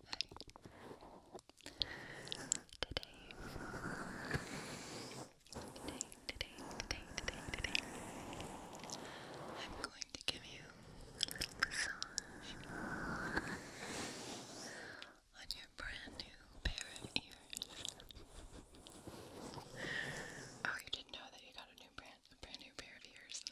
today, today, today, today, today, I'm going to give you a little massage on your brand new pair of ears. oh, you didn't know that you got a new brand, a brand new pair of ears,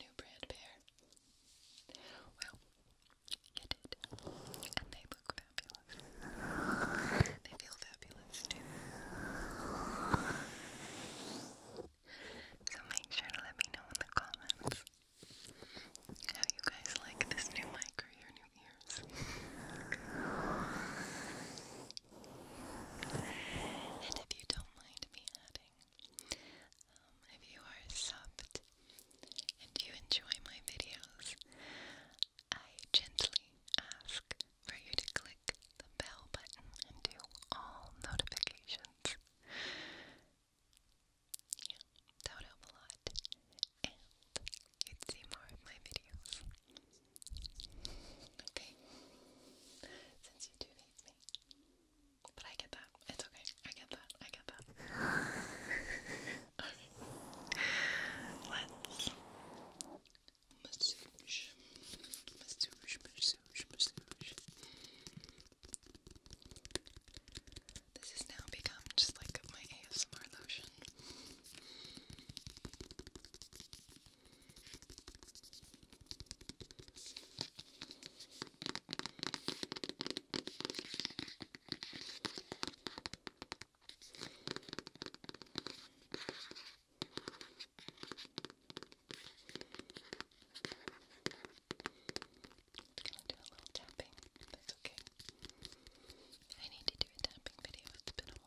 new brand pair. Well, you did. And they look fabulous. They feel fabulous too. So make sure to let me know in the comments how you guys like this new mic or new ears. and if you don't mind me adding, um, if you are subbed and you enjoy my videos, I gently ask for you to click the bell button and do all notifications. Yeah, that would help a lot. And you'd see more of my videos. Okay? Since you do hate me. But I get that. It's okay. I get that. I get that. okay. Let's massage. Massage, massage, massage. This has now become just like my ASMR lotion gonna do a little tapping. That's okay. I need to do a tapping video. It's been a while.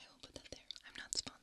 I will put that there. I'm not sponsored.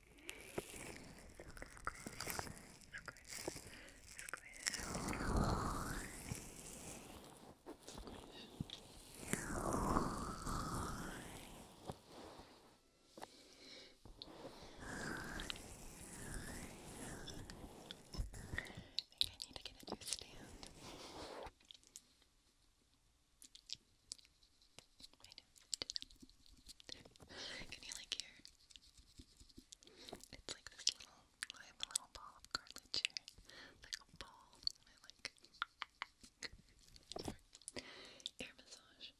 I think I need to get a new stand. Can you like hear? It's like this little, I have a little ball of cartilage here. like a ball, and I like ear massage. Ear massage.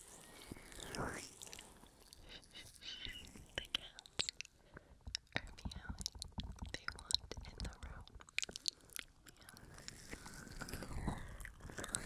The cats are meowing. They want in the room. Meow. Meow. Meow.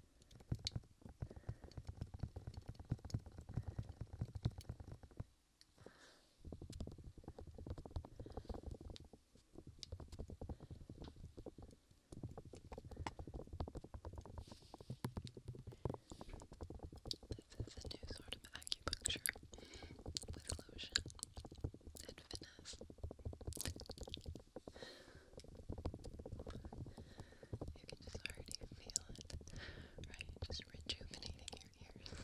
This is a new sort of acupuncture with lotion and finesse. You can just already feel it, right? Just rejuvenating your ears.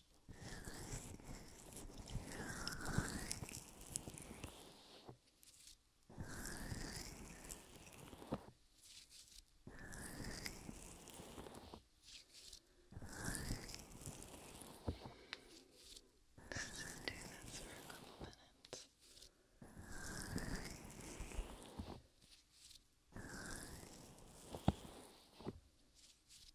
do this for a couple minutes.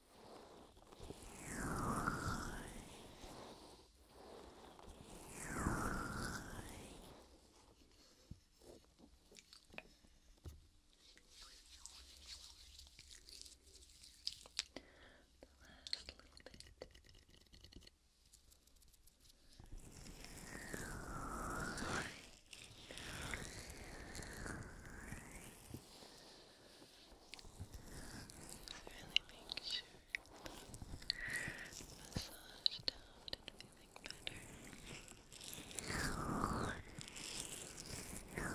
The last little bit really make sure massage down and feeling better. Good.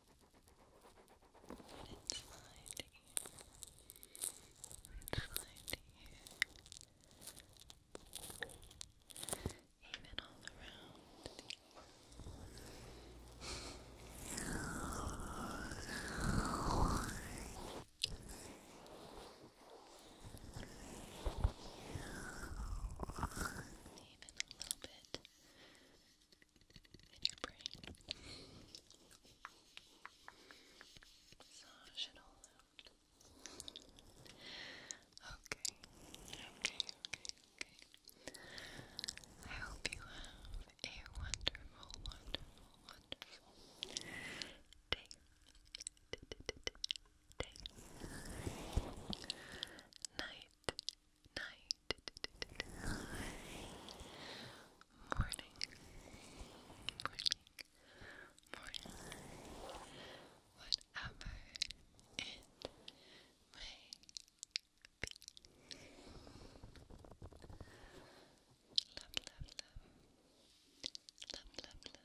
Let it slide here. Let it here. Even all around even a little bit in Okay, okay, okay, okay. I hope you have a wonderful, wonderful, wonderful day. night, night, morning, morning, morning, whatever it may be. Love, love, love. Love, love, love.